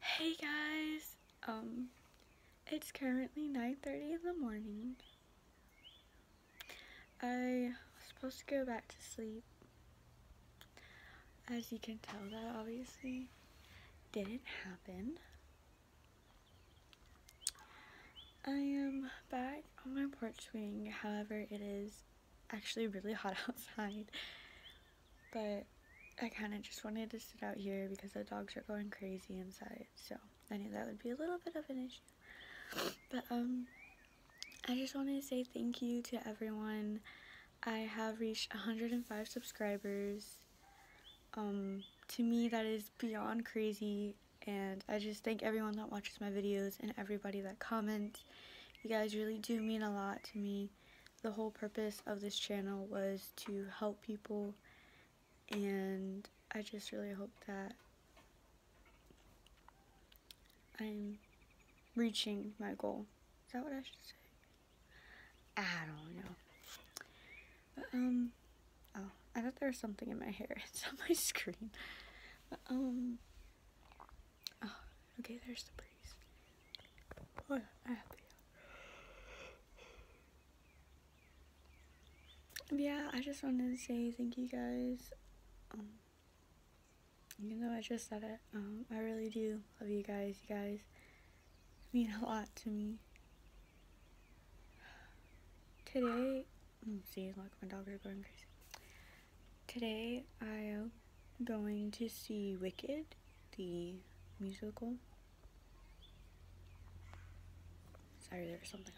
Hey guys, um, it's currently 9.30 in the morning. I was supposed to go back to sleep. As you can tell that obviously didn't happen. I am back on my porch swing, however it is actually really hot outside. But I kind of just wanted to sit out here because the dogs are going crazy inside. So I knew that would be a little bit of an issue. But um, I just wanted to say thank you to everyone. I have reached 105 subscribers. Um, to me, that is beyond crazy. And I just thank everyone that watches my videos and everybody that comments. You guys really do mean a lot to me the whole purpose of this channel was to help people and I just really hope that I'm reaching my goal. Is that what I should say? I don't know. Um, oh, I thought there was something in my hair. It's on my screen. Um, Oh, okay, there's the breeze. Oh, Yeah, I just wanted to say thank you guys. Um, even though I just said it, um, I really do love you guys. You guys mean a lot to me. Today, mm, see, look, my dog is going crazy. Today, I going to see Wicked, the musical. Sorry, there was something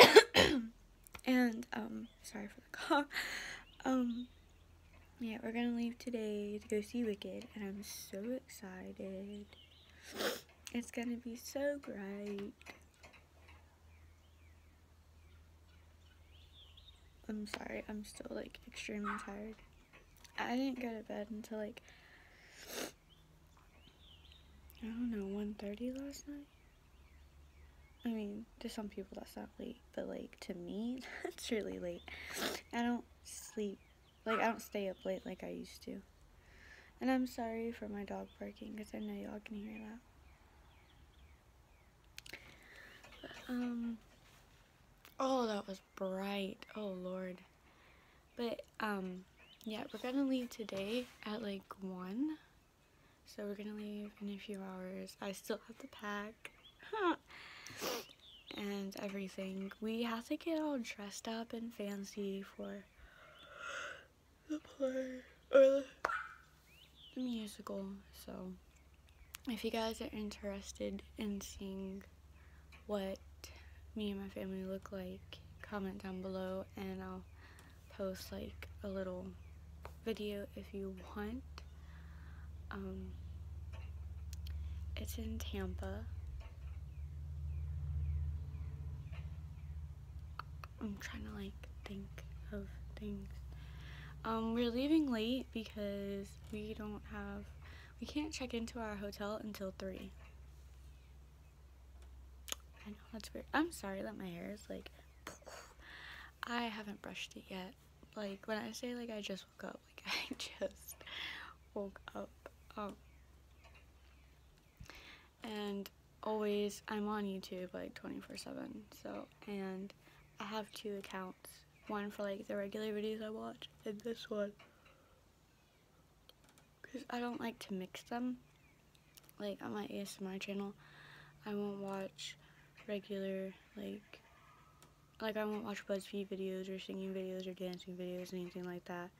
on my phone. and, um, sorry for the cough. Um, yeah, we're gonna leave today to go see Wicked, and I'm so excited. It's gonna be so great. I'm sorry, I'm still like extremely tired. I didn't go to bed until like I don't know, 1.30 last night? I mean, to some people that's not late, but like to me, that's really late. I don't sleep, like I don't stay up late like I used to. And I'm sorry for my dog barking because I know y'all can hear that. Um, oh, that was bright. Oh, Lord. But, um, yeah, we're going to leave today at, like, 1. So we're going to leave in a few hours. I still have to pack. and everything. We have to get all dressed up and fancy for the play or the, musical. So if you guys are interested in seeing what me and my family look like, comment down below and I'll post like a little video if you want. Um, it's in Tampa. I'm trying to like think of things. Um, we're leaving late because we don't have, we can't check into our hotel until 3. I know, that's weird. I'm sorry that my hair is like, I haven't brushed it yet. Like, when I say like I just woke up, like I just woke up. Um, and always I'm on YouTube like 24 7 so and I have two accounts one for like the regular videos I watch and this one because I don't like to mix them like on my ASMR channel I won't watch regular like like I won't watch BuzzFeed videos or singing videos or dancing videos or anything like that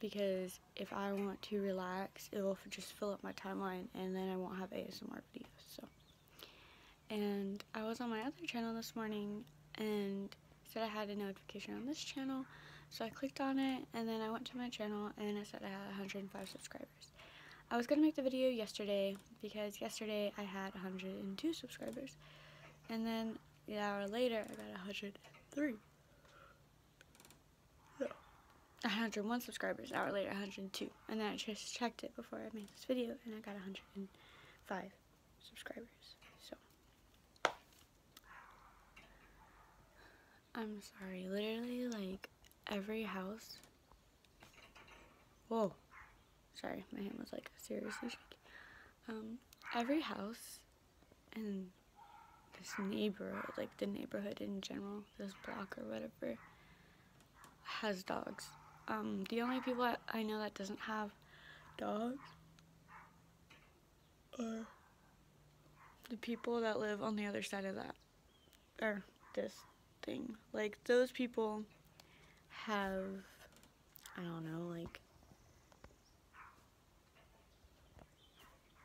because if I want to relax, it'll just fill up my timeline and then I won't have ASMR videos. So, And I was on my other channel this morning and said I had a notification on this channel. So I clicked on it and then I went to my channel and I said I had 105 subscribers. I was going to make the video yesterday because yesterday I had 102 subscribers. And then an hour later I got 103 no. 101 subscribers, hour later 102. And then I just checked it before I made this video and I got 105 subscribers. So, I'm sorry. Literally, like, every house. Whoa. Sorry, my hand was like seriously shaking. Um, every house and this neighborhood, like the neighborhood in general, this block or whatever, has dogs. Um, the only people I know that doesn't have dogs are the people that live on the other side of that, or this thing. Like, those people have, I don't know, like,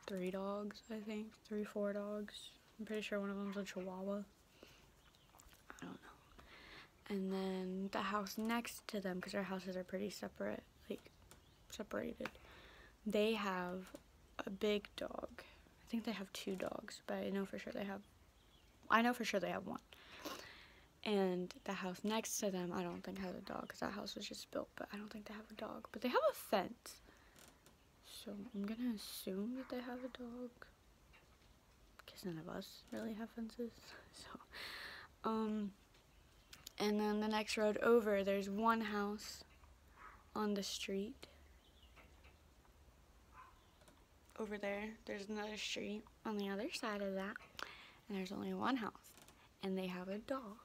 three dogs, I think. Three, four dogs. I'm pretty sure one of them's a chihuahua. I don't know. And then the house next to them, because our houses are pretty separate, like separated, they have a big dog. I think they have two dogs, but I know for sure they have, I know for sure they have one. And the house next to them, I don't think has a dog, because that house was just built, but I don't think they have a dog. But they have a fence. So I'm gonna assume that they have a dog. Because none of us really have fences. So, um, and then the next road over, there's one house on the street. Over there, there's another street on the other side of that. And there's only one house. And they have a dog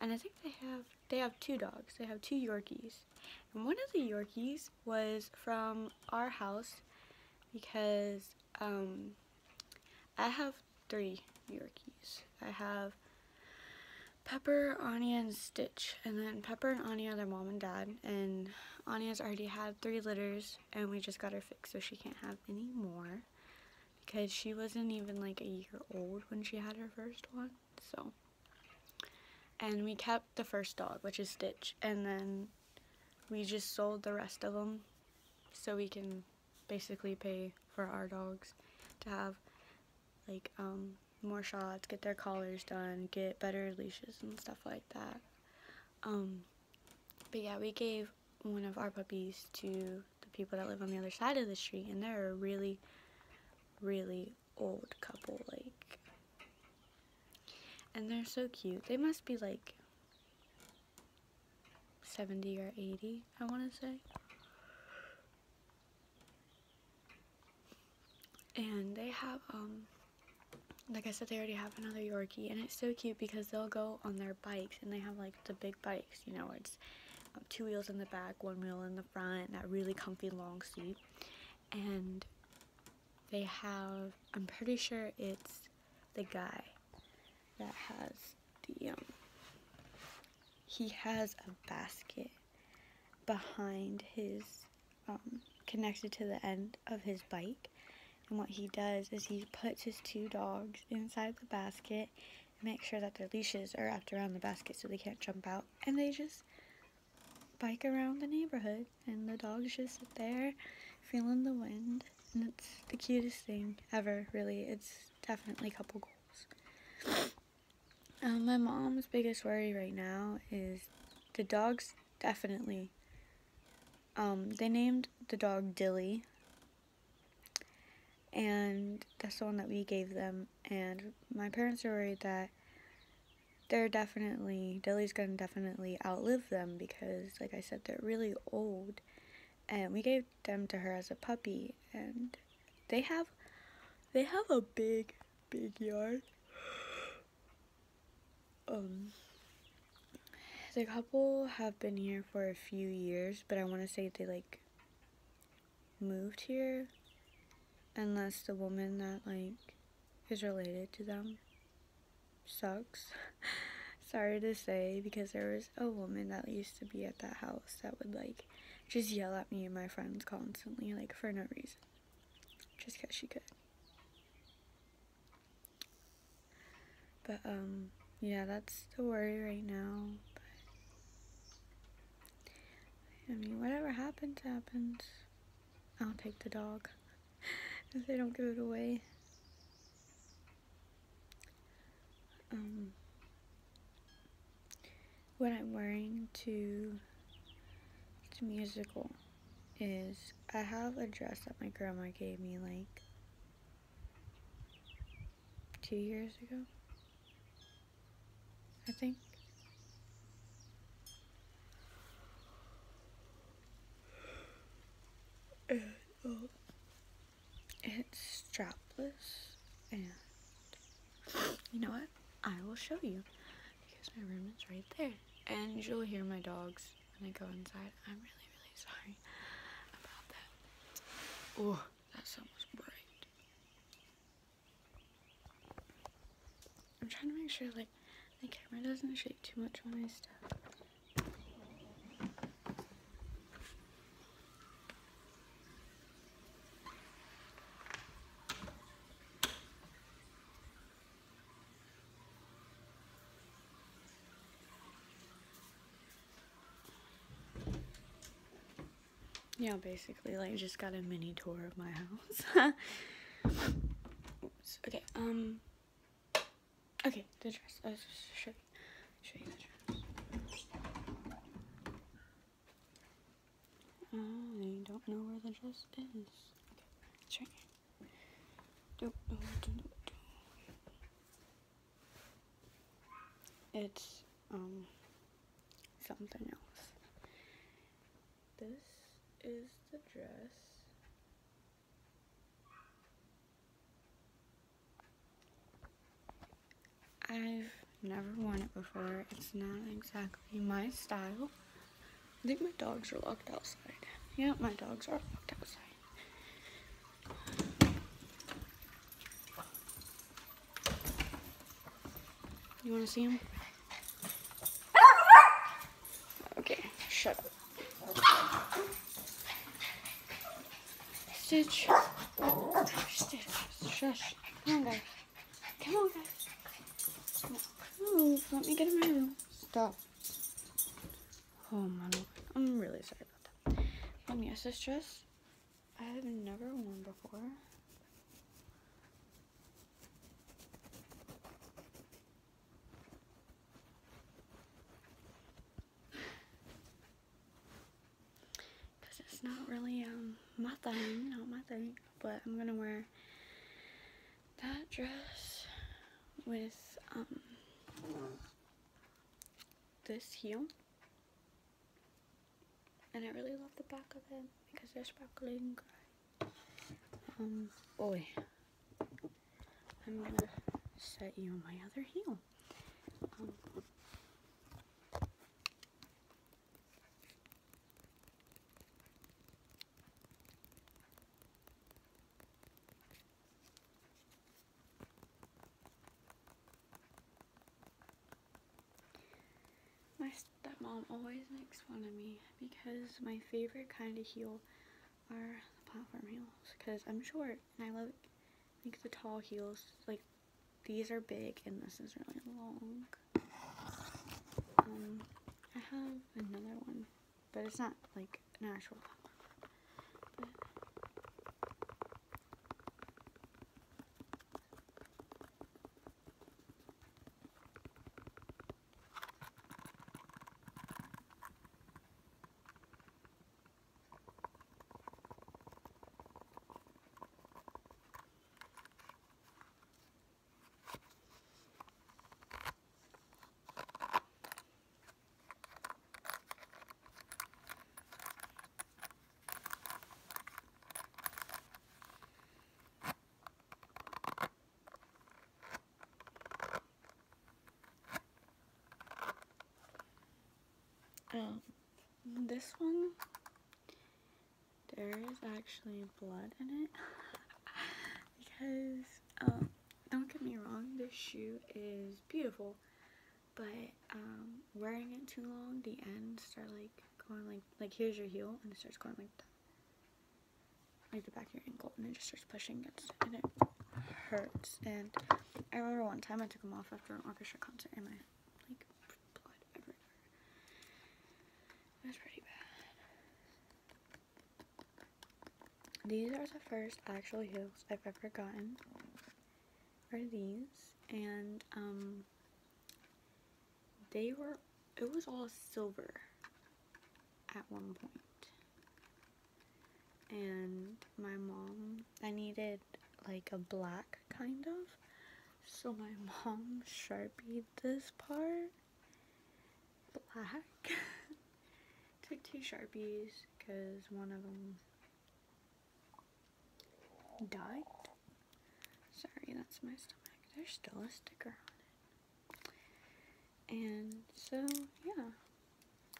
and I think they have they have two dogs. They have two Yorkies. And one of the Yorkies was from our house because um, I have three Yorkies. I have Pepper, Anya, and Stitch. And then Pepper and Anya are their mom and dad. And Anya's already had three litters and we just got her fixed so she can't have any more because she wasn't even like a year old when she had her first one so and we kept the first dog which is Stitch and then we just sold the rest of them so we can basically pay for our dogs to have like um, more shots, get their collars done, get better leashes and stuff like that. Um, but yeah, we gave one of our puppies to the people that live on the other side of the street and they're a really really old couple like and they're so cute they must be like 70 or 80 I want to say and they have um like I said they already have another Yorkie and it's so cute because they'll go on their bikes and they have like the big bikes. You know, it's um, two wheels in the back, one wheel in the front, that really comfy long seat. And they have, I'm pretty sure it's the guy that has the, um, he has a basket behind his, um, connected to the end of his bike. And what he does is he puts his two dogs inside the basket make sure that their leashes are wrapped around the basket so they can't jump out. And they just bike around the neighborhood and the dogs just sit there feeling the wind. And it's the cutest thing ever, really. It's definitely couple goals. Um, my mom's biggest worry right now is the dogs definitely. Um, they named the dog Dilly and that's the one that we gave them and my parents are worried that they're definitely Dilly's gonna definitely outlive them because like I said they're really old and we gave them to her as a puppy and they have they have a big big yard um the couple have been here for a few years, but I want to say they like moved here unless the woman that like is related to them sucks. Sorry to say because there was a woman that used to be at that house that would like just yell at me and my friends constantly like for no reason just because she could. But um yeah, that's the worry right now. But I mean, whatever happens, happens. I'll take the dog if they don't give it away. Um, what I'm wearing to to musical is I have a dress that my grandma gave me like two years ago, I think. Um, it's strapless and you know what? I will show you because my room is right there and you'll hear my dogs I'm gonna go inside. I'm really, really sorry about that. Oh, that sun was bright. I'm trying to make sure like the camera doesn't shake too much when I step. Yeah, basically, like, just got a mini tour of my house. okay, um, okay, the dress. I was just show you, show you the dress. I don't know where the dress is. Okay, it's right here. It's um something else. This is the dress. I've never worn it before. It's not exactly my style. I think my dogs are locked outside. Yeah, my dogs are locked outside. You want to see them? Okay, shut up. Stitch. Stitch. Shush. Come on, guys. Come on, guys. let me get in my room. Stop. Oh my I'm really sorry about that. Um, yes, this dress I have never worn before. Because it's not really um my thing, not my thing. But I'm going to wear that dress with um, this heel. And I really love the back of it because they're sparkling Um, boy, I'm gonna set you on my other heel. Um, my stepmom always makes fun of me because my favorite kind of heel are platform heels because I'm short and I love like the tall heels. Like these are big and this is really long. Um, I have another one but it's not like an actual plumber. Um, this one there is actually blood in it because um, don't get me wrong this shoe is beautiful but um, wearing it too long the ends start like going like like here's your heel and it starts going like that like the back of your ankle and it just starts pushing against and it hurts and I remember one time I took them off after an orchestra concert and my like blood everywhere that's pretty bad. These are the first actual heels I've ever gotten. Are these. And, um, they were, it was all silver at one point. And my mom, I needed like a black kind of. So my mom sharpied this part black. Took two Sharpies because one of them died. Sorry, that's my stomach. There's still a sticker on it. And so, yeah.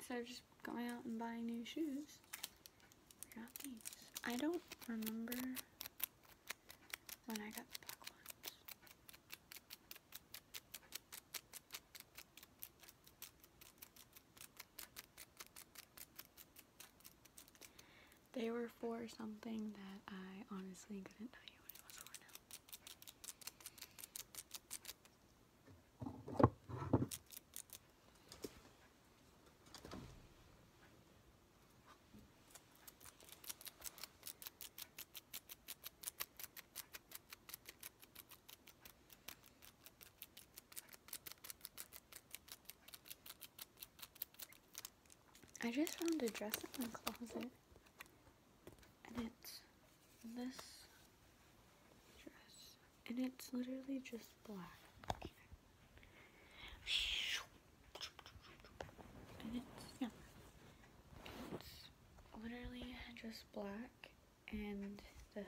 So I've just going out and buying new shoes. I got these. I don't remember when I got the black ones. They were for something that I honestly couldn't tell you what it was for now. I just found a dress in my closet and it's this dress and it's literally just black. And it's, yeah. It's literally just black and the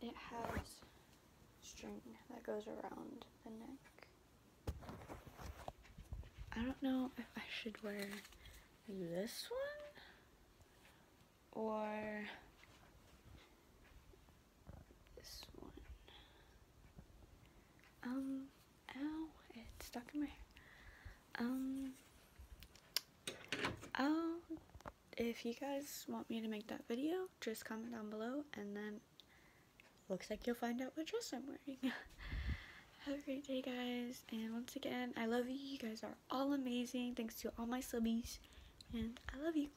it has string that goes around the neck. I don't know if I should wear this one or um, ow, it's stuck in my hair. Um, oh, if you guys want me to make that video, just comment down below and then looks like you'll find out what dress I'm wearing. Have a great day, guys. And once again, I love you. You guys are all amazing. Thanks to all my subbies. And I love you.